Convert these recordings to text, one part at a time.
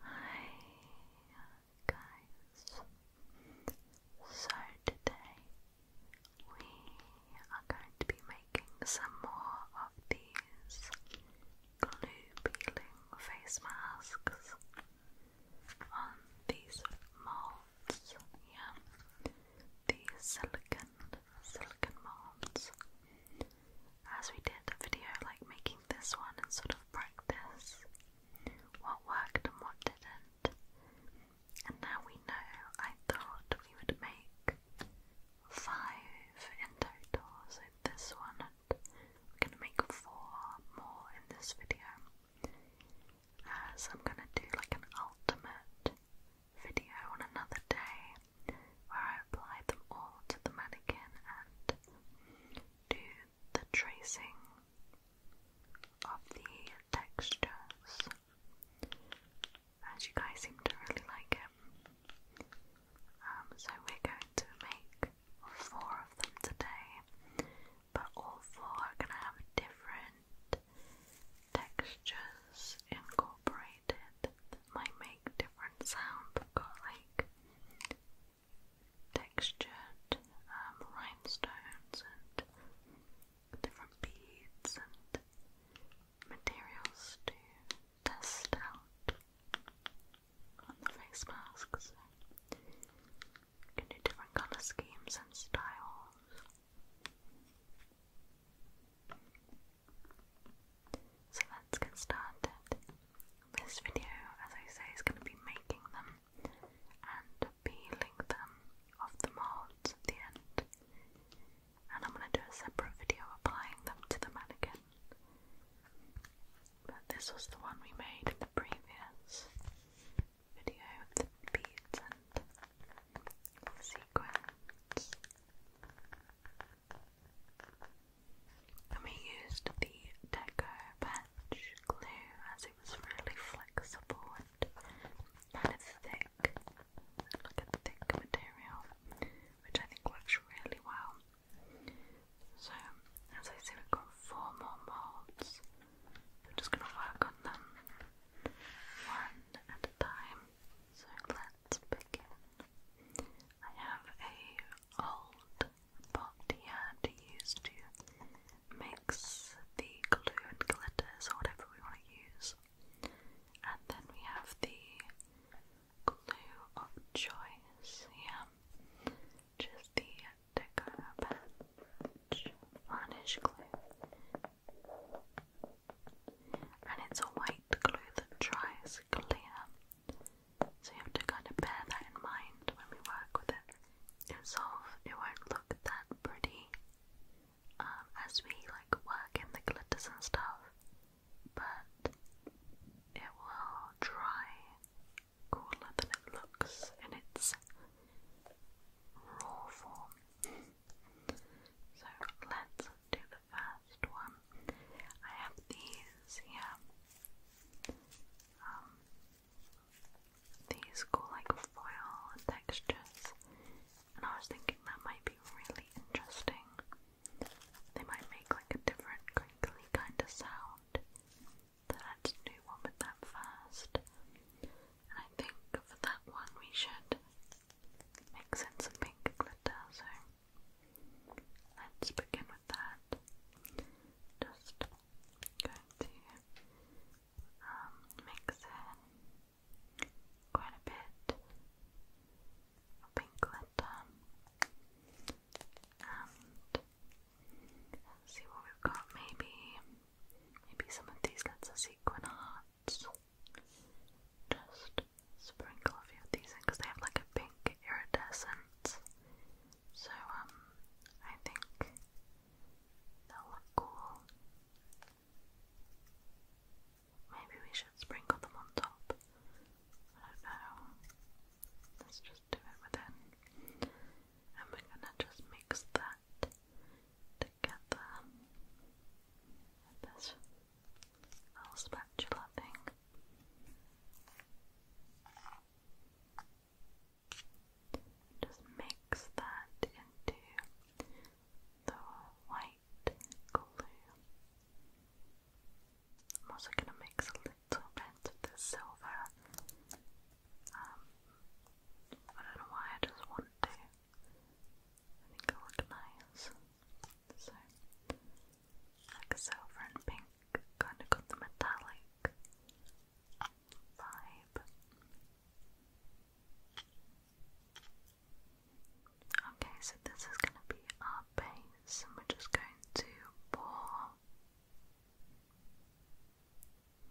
Hi guys. So today we are going to be making some more of these glue peeling face masks on these molds, yeah. These silicon silicon molds as we did a video like making this one and sort of practice what worked and what didn't. And now we know I thought we would make five in doors in this one, and we're gonna make four more in this video. so I'm gonna do like an ultimate video on another day where I apply them all to the mannequin and do the tracing of the textures, as you guys seem to really like it. Um, so we're going to make four of them today, but all four are going to have different textures incorporated that might make different sounds. i like textured um, rhinestones and different beads and materials to test out on the face masks. you can do different colour schemes and styles. So let's get started. This video, as I say, is going to be making them and peeling them off the molds at the end. And I'm going to do a separate video applying them to the mannequin. But this was the one we made in the previous video with the beads and sequins we used the deco bench glue as it was really flexible and kind of thick, like a thick material, which I think works really well. So, as I say, we've got four more molds. I'm just going to work on them one at a time. So let's begin. I have a old pot he had to use to mix the glue and glitters or whatever we want to use. And then we have the glue of choice here, which is the Deco Patch Varnish Glue. And it's a white glue that dries clear so you have to kind of bear that in mind when we work with it. Itself, it won't look that pretty um, as we like work in the glitters and stuff, but it will dry cooler than it looks in its raw form. So let's do the first one. I have these here. Um, these cool like foil textures and I was thinking that might be really interesting. They might make like a different crinkly kind of sound that I do one with them first. And I think for that one we should mix in some pink glitter, so let's begin with that just going to um, mix in quite a bit of pink glitter and see what we've got. Maybe, maybe some of these letters sequin hearts. Just sprinkle a few of these in because they have like a pink iridescent so, um, I think they'll look cool. Maybe we should sprinkle them on top. I don't know. Let's just do it within. And we're gonna just mix that together. With this little spatula thing. Just mix that into the white glue. I'm also going to mix a little bit of the silver, um, I don't know why I just want to. I think it'll look nice. So, like silver and pink, kind of got the metallic vibe. Okay, so this is going to be our base, and we're just going to pour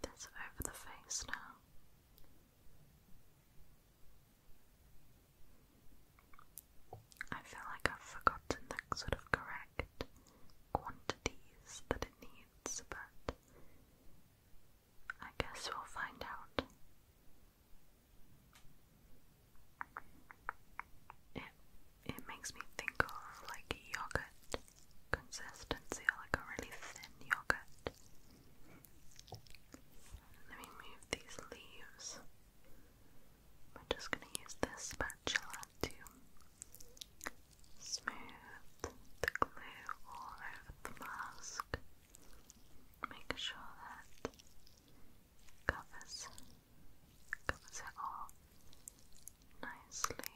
this over the face now. I feel like I've forgotten the sort of correct exact quantities that it needs, but I guess we'll find out. It it makes me think of like yogurt consistency like a really thin yogurt. Let me move these leaves. I'm just going to use this spatula to smooth the glue all over the mask. Make sure that covers covers it all nicely.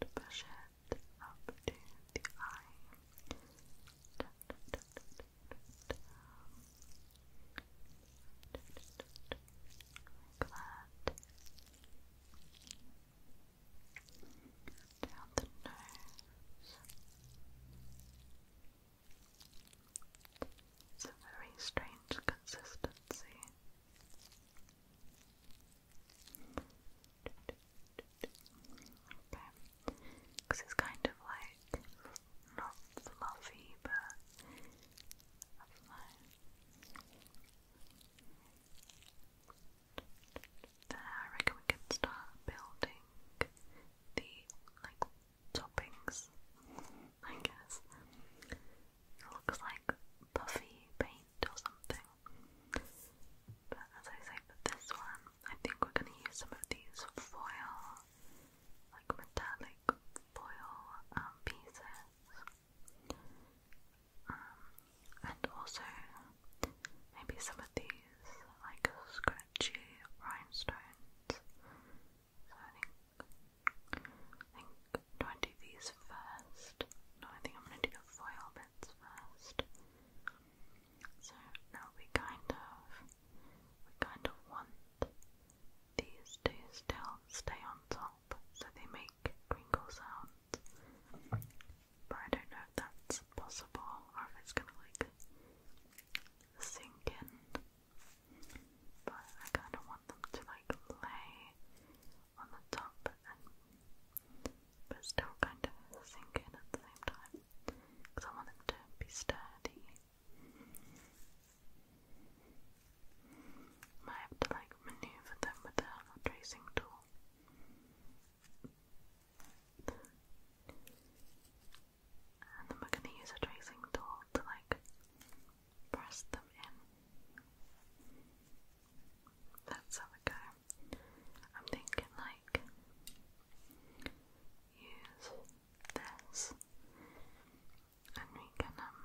Just push it up to the eye that. Down the nose. It's a very strange consistency because it's kind of like not fluffy, but I reckon we can start building the like toppings. I guess it looks like puffy paint or something. But as I say, for this one, I think we're going to use some of these foil, like metallic foil um, pieces. Um, and also maybe some of these like scratchy rhinestones. So I think, I think, do I these first? No, I think I'm going to do the foil bits first. So now we kind of we kind of want these to still stay on top so they make crinkle sounds. But I don't know if that's possible or if it's gonna like sink in. But I kind of want them to like lay on the top and but still kind of sink in at the same time because I want them to be sturdy might have to like maneuver them with the tracing tool. And then we're gonna use a tracing tool to like press them in. Let's have go. I'm thinking like use this and we can um,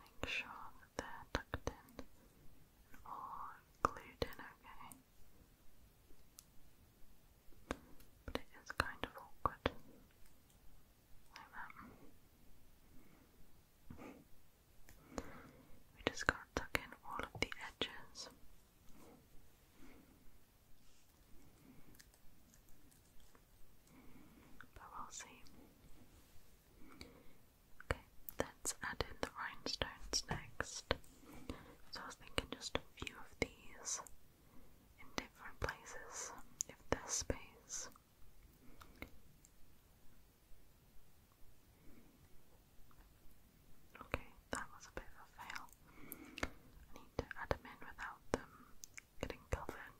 make sure they're tucked in and glued in okay. But it is kind of awkward We just gotta tuck in all of the edges. But we'll see. Okay, let's add in the rhinestones next. So I was thinking just a few of these in different places if there's space. Okay, that was a bit of a fail. need to add them in without them getting covered.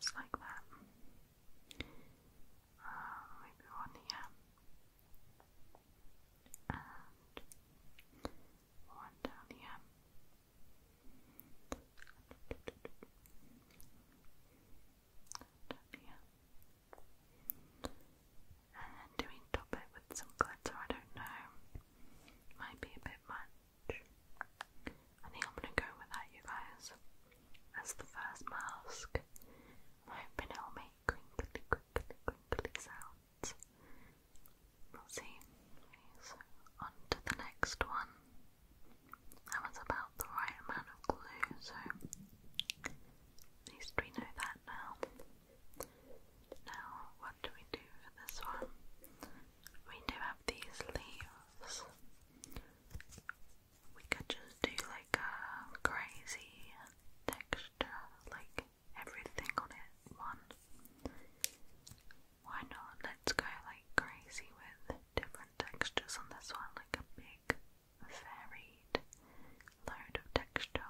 Just like that. Uh, maybe one here. And one down here. And then do we top it with some glitter? I don't know. Might be a bit much. I think I'm gonna go with that, you guys. As the first mask. I'm hoping it'll make crinkly, crinkly, crinkly sounds. We'll see. so on to the next one. That was about the right amount of glue, so at least we know that now. Now, what do we do for this one? We do have these leaves. We could just do like a crazy texture, like everything on it, one. Why not? Let's go like crazy with different textures on this one, like a big varied load of texture.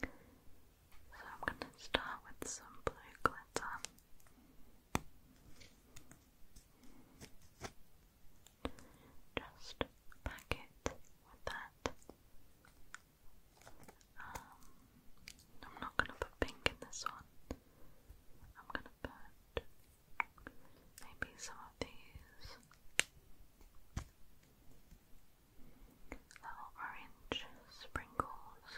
So I'm going to start with some blue glitter. Just pack it with that. Um, I'm not going to put pink in this one. I'm going to put Maybe some of these. Little orange sprinkles.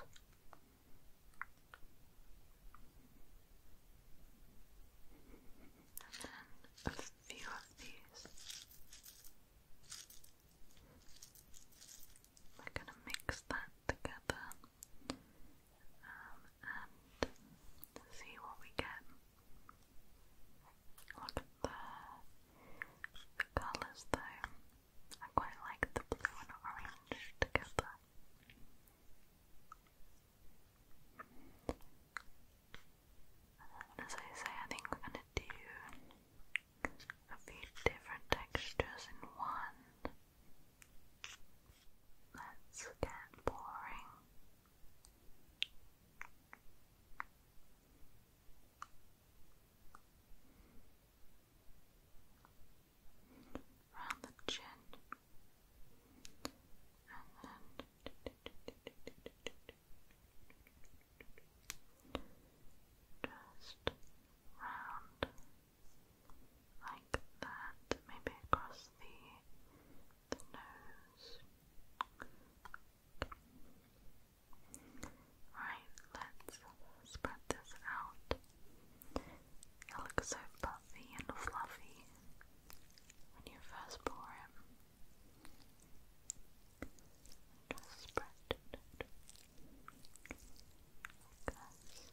And a few of these. We're gonna mix that together. Um, and see what we get. Look at the, the colours though. I quite like the blue and orange together. as I say, I think we're going to do a few different textures in one. Let's get boring. Round the chin, and then just round like that, maybe across the the Right, let's spread this out. It looks so puffy and fluffy when you first pour it. Just spread it. Like this.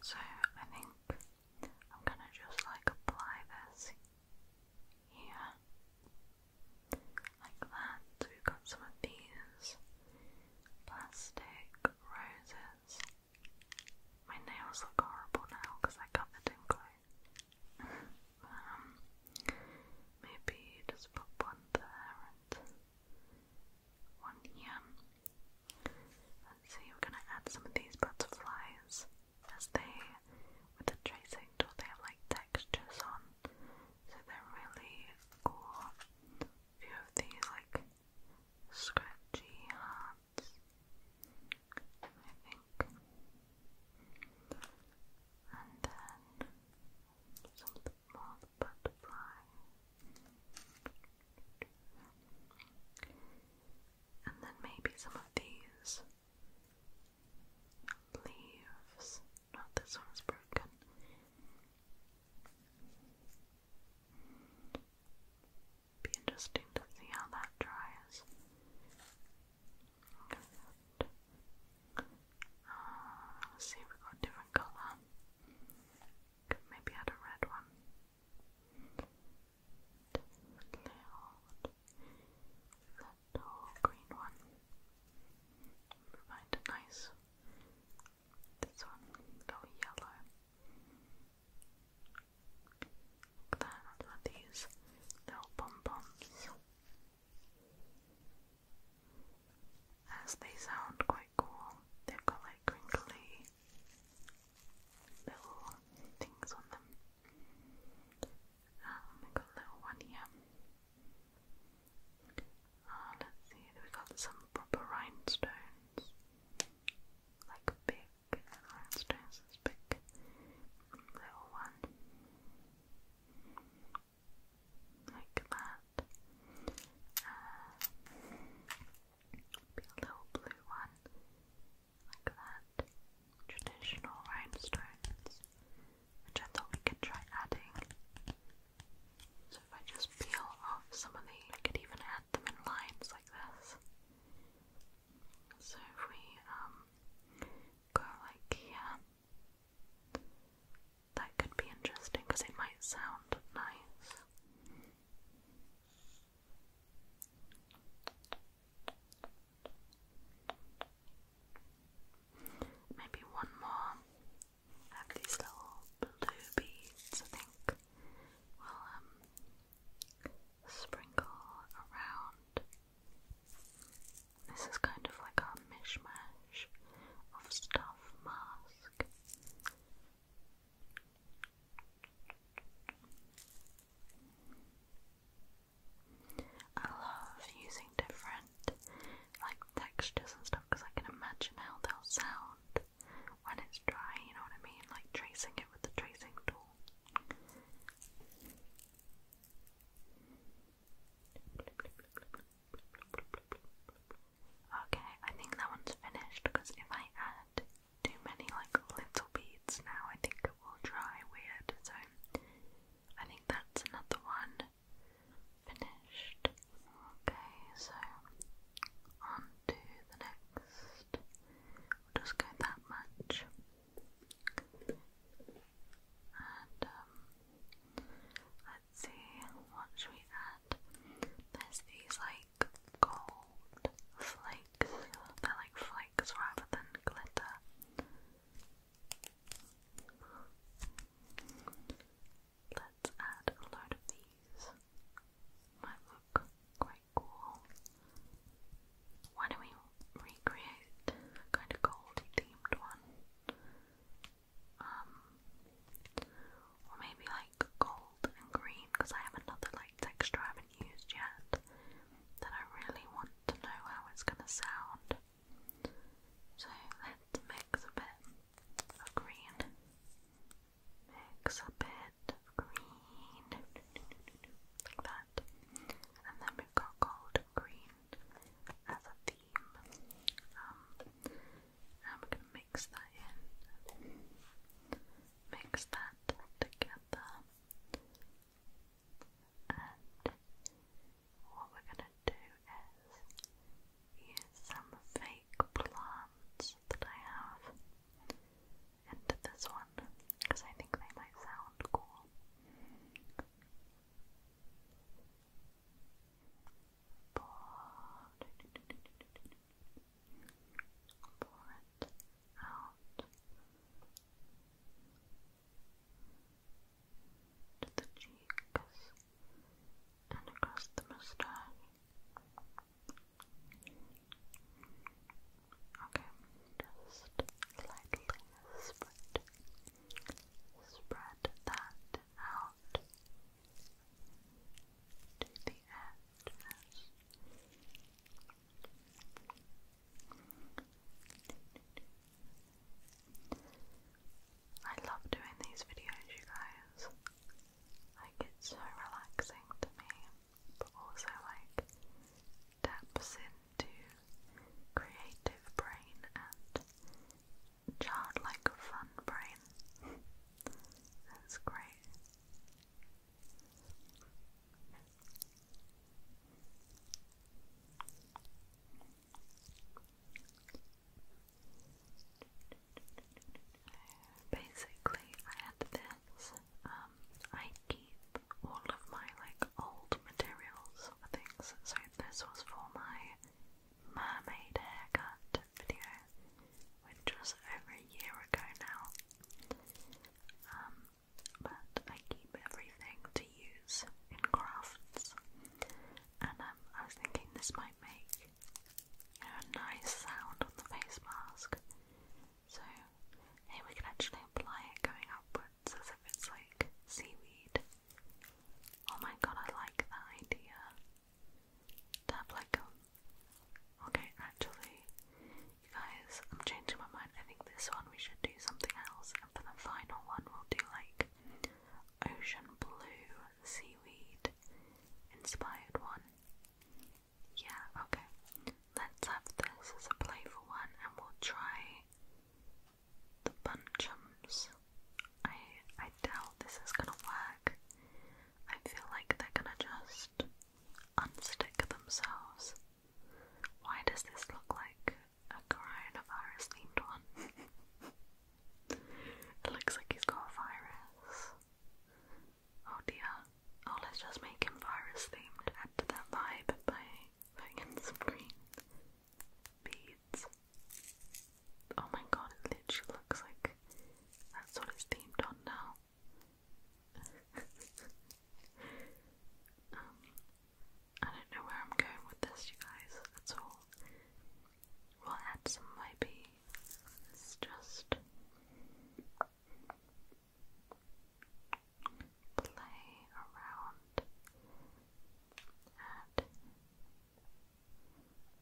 So I think I'm gonna just like apply this here like that. we've got some of these plastic roses. My nails look horrible now because I covered in glue. um, maybe just put one there and one here. Let's see, we're gonna add some of these butterflies as they, with the tracing tool, they have like textures on, so they're really cool. A few of these like scratchy heart um, dots. I think. And then something more butterfly. And then maybe some of these leaves. Not this one's broken. Be interesting to see how that dries. Uh, see if we got a different colour. Could maybe add a red one. Definitely that whole green one. Provide a nice. This one, go yellow. Look at these little pom-poms. As they sound quite cool, they've got like crinkly little things on them. Um, we got little one here. Ah, let's see, we got some proper rhinestones, like big let's this big little one like that be a little blue one like that traditional rhinestones which I thought we could try adding so if I just peel off some of these, I could even add them in lines like this so if we um, go like here, that could be interesting because it might sound nice. Maybe one more. have these little blue beads, I think. Well, um, sprinkle around. This is kind of like a mishmash of stuff mask. I love using different like textures and stuff because I can imagine how they'll sound when it's dry, you know what I mean? Like tracing it with the tracing tool. Okay, I think that one's finished because if I add too many like little beads now, I think it will dry weird. So I think that's another one finished. Okay, so on the next just, we go that much. And um, let's see, what should we add? There's these like gold flakes. They're like flakes rather than glitter. Let's add a load of these. Might look quite cool. Why don't we recreate kind of gold themed one? Um, or maybe like gold and green because I have another like texture I haven't used yet that I really want to know how it's gonna sound. So let's mix a bit of green, mix a bit of green, like that. And then we've got gold green as a theme. and we're going to mix that in. Mix that together. And what we're going to do is use some fake plants that I have into this one because I think they might sound cool. Pour, pour it out to the cheeks and across the mustache. Okay, just slightly spread, spread that out to the edges. I love doing these videos, you guys. Like, it's so relaxing to me but also like taps into creative brain and childlike fun brain. That's great. Basically, I had this um, I keep all of my like old materials for things. So this was for my mermaid haircut video, which was over a year ago now. Um, but I keep everything to use in crafts, and um, I was thinking this might make you a nice sound on the face mask. So here we can actually apply it going upwards as if it's like seaweed. Oh my god, I like that idea. To have like Okay, actually, guys, I'm changing my mind. I think this one we should do something else, and for the final one, we'll do like ocean blue seaweed inspired one. Yeah, okay. Let's have this as a playful one and we'll try the bunchums. I I doubt this is gonna work. I feel like they're gonna just unstick themselves. Why does this look like a coronavirus themed one? it looks like he's got a virus. Oh dear. Oh, let's just make him virus themed. Add that vibe by putting some green beads. Oh my god, it literally looks like that's what it's themed on now. um, I don't know where I'm going with this, you guys, that's all. We'll add some YB. It's just play around at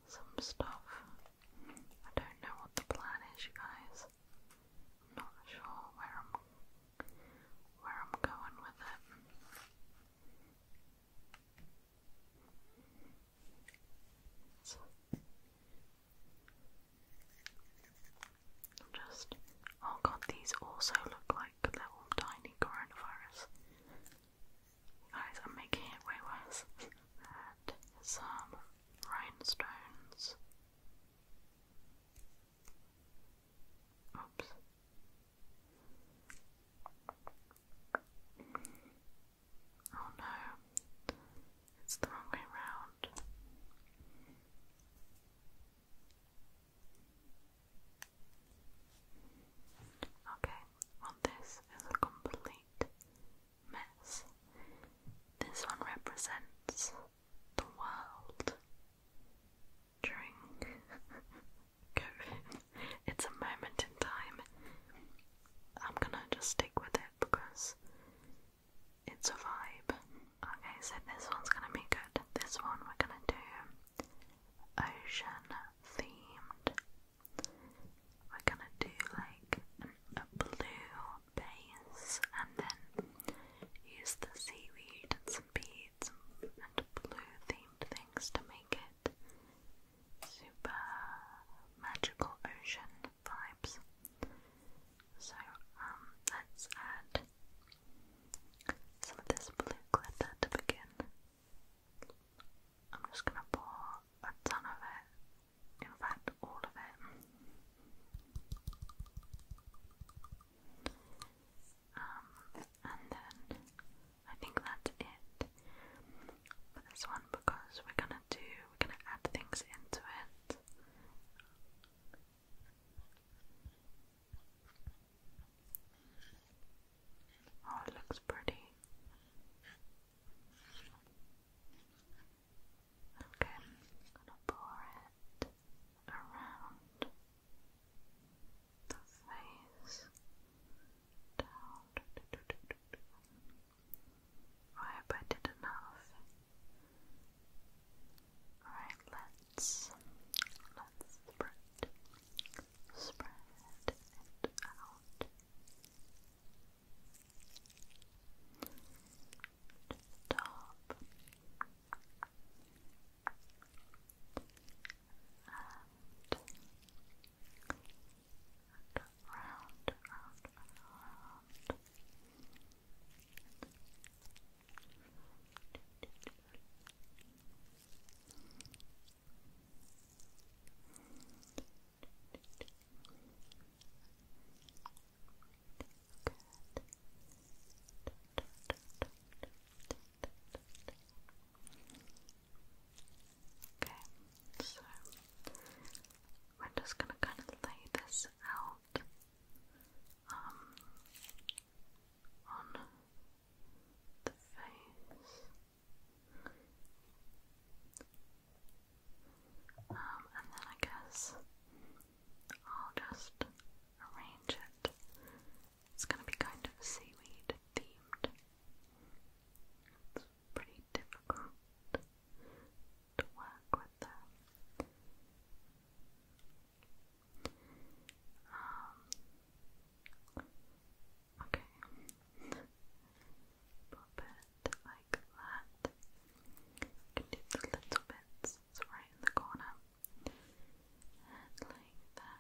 some stuff. I don't know what the plan is, you guys. not sure where I'm where I'm going with it. Just, oh god, these also look like little tiny coronavirus. Guys, I'm making it way worse. some rhinestones. Oops. Oh no, it's the wrong way round. Okay, well, this is a complete mess. This one represents the world during COVID. It's a moment in time. I'm gonna just stick with it because it's a vibe. Okay, so this one's gonna be good. This one we're gonna do ocean themed. We're gonna do like a blue base and then use the seaweed and some beads and blue themed things to make it super magical ocean vibes. So um, let's add some of this blue glitter to begin. I'm just going to pour a ton of it, in fact, all of it. Um, and then I think that's it for this one because we're gonna do, we're gonna add things into it. Oh, it looks pretty. Okay, I'm gonna pour it around the face I hope I did enough. Alright, let's let's spread spread it out. top and Round, round, round. Okay, so we're just going to kind of lay this out out um, on the face. Um, and then I guess I'll just arrange it. It's gonna be kind of seaweed themed. It's pretty difficult to work with them. Um, okay, pop it like that. You do the little bits it's right in the corner, and like that.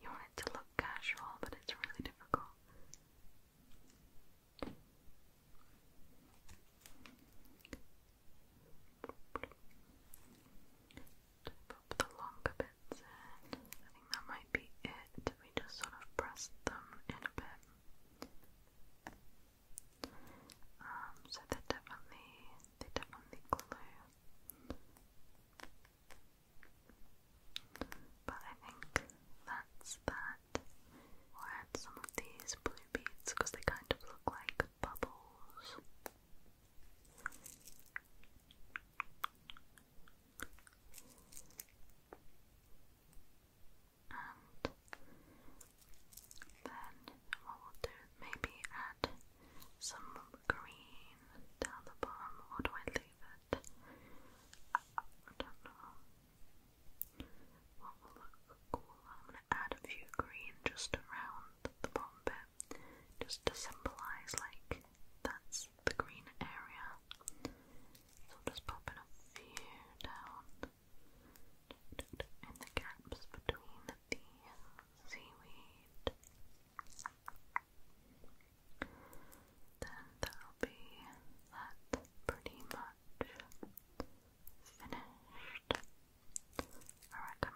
You want it to look casual, but it's really difficult. Pop the longer bits in. I think that might be it. We just sort of press them in a bit. Um, so they definitely, they definitely glue. But I think that's that. add some of these blue beads because they kind of look like bubbles. And then what will do, maybe add some green down the bottom, or do I leave it? I don't know. What will look cool? I'm gonna add a few green just around the bottom bit, just to symbolize like that's the green area. So I'll just pop a few down in the gaps between the seaweed. Then that'll be that pretty much finished. I reckon.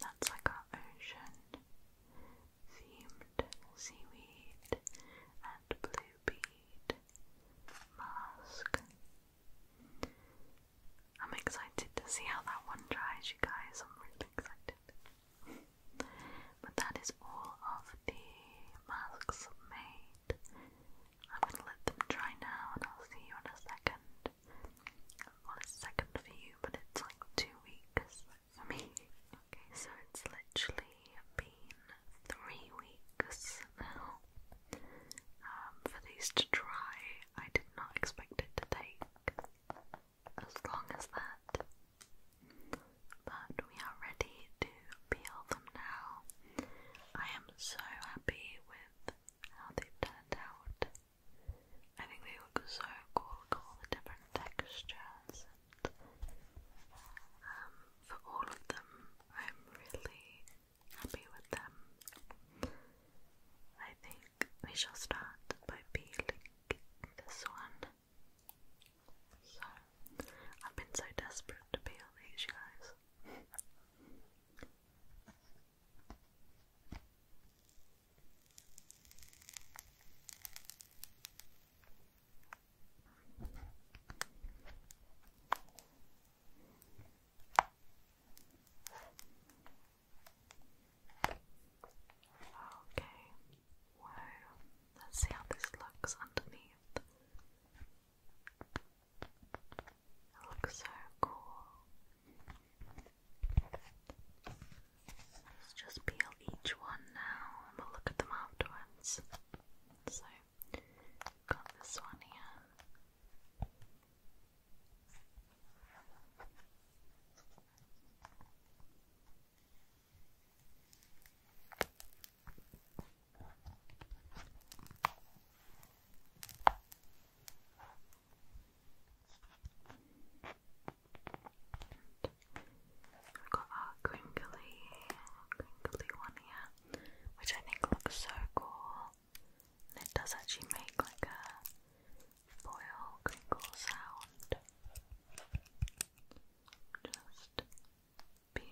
That's like our ocean themed seaweed and blue bead mask I'm excited to see how that one dries, you guys. I'm really excited. but that is all of the masks made. I'm gonna let them dry now, and I'll see you in a second. Well, a second for you, but it's like two weeks for me. Okay, so it's literally been three weeks now um, for these to dry. I did not expect it to take as long as that. But we are ready to peel them now. I am so happy with how they've turned out. I think they look so cool, look all the different textures. Um, for all of them, I'm really happy with them. I think we shall start by peeling this one. So, I've been so desperate to peel these, you guys. Okay, whoa, let's see how this looks underneath. It looks so cool. Let's just peel each one now and we'll look at them afterwards. So, got this one here. I've got our crinkly, crinkly one here, which I think looks so cool it does actually make like a foil crinkle sound. Just peel.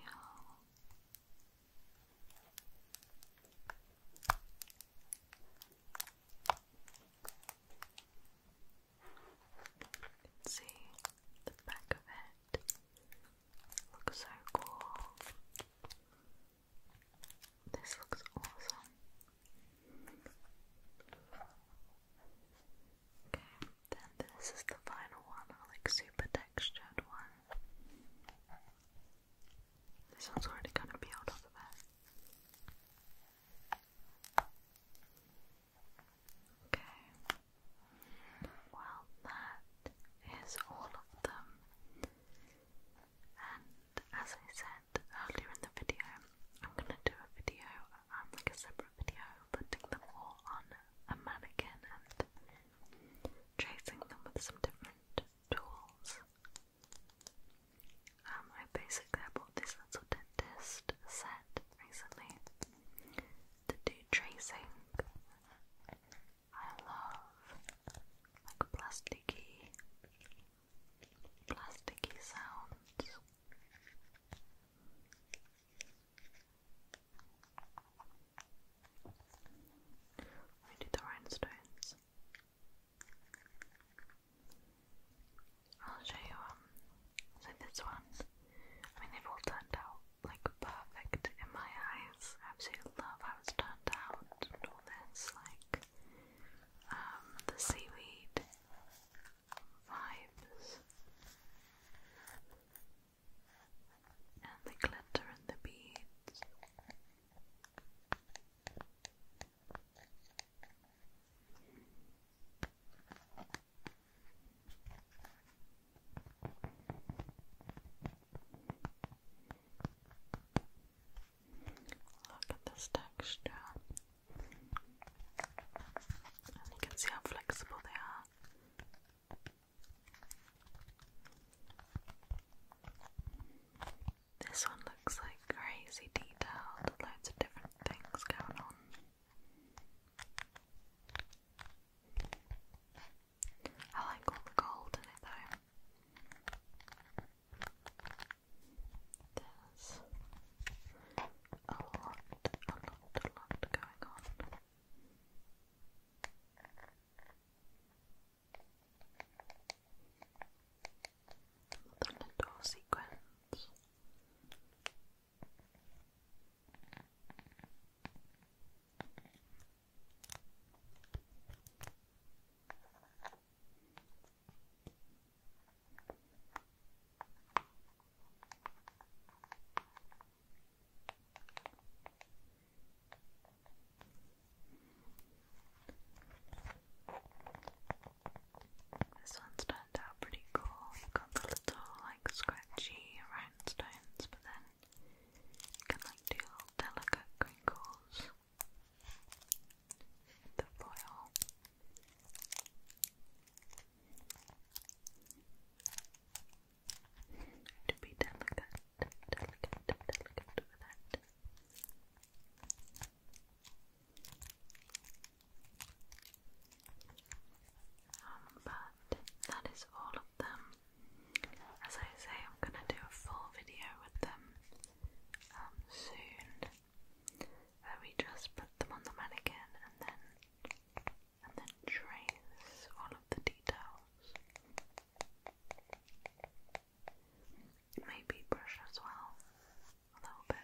see the back of it. Looks so cool. This looks awesome. Okay, then this is the final one, like super textured one. This one's already kind of peeled off of Okay. Well, that is all of them. And as I said, said earlier in the video, I'm gonna do a video, um, like a separate video, putting them all on a mannequin and tracing them with some different tools. Um, I basic I bought this little dentist set recently to do tracing. I love like plasticky plasticky sounds. We do the rhinestones. I'll show you um so this one. I mean they've all turned out like perfect in my eyes. absolutely love how it's turned out all this, like um, the seaweed vibes and the glitter and the beads. Look at this texture. you can see how flexible they are. This one looks like crazy detailed, loads of different things going on. I like all the gold in it there's a lot, a lot, a lot going on. The little sequence. There's this one's turned out pretty cool. you got the little like scratchy rhinestones, but then you can like do little delicate crinkles the foil. To be delicate, delicate, delicate with it. Um, but that is all of them. As I say, I'm gonna do a full video with them um, soon we just put them on the mannequin and then and then trace all of the details. Maybe brush as well a little bit.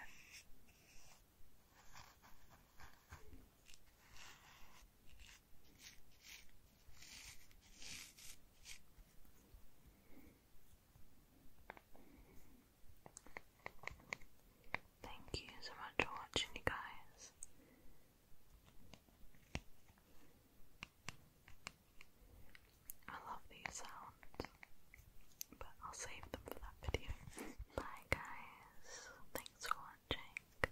Thank you so much for watching, you guys. I love these sounds, but I'll save them for that video. Bye, guys. Thanks for watching.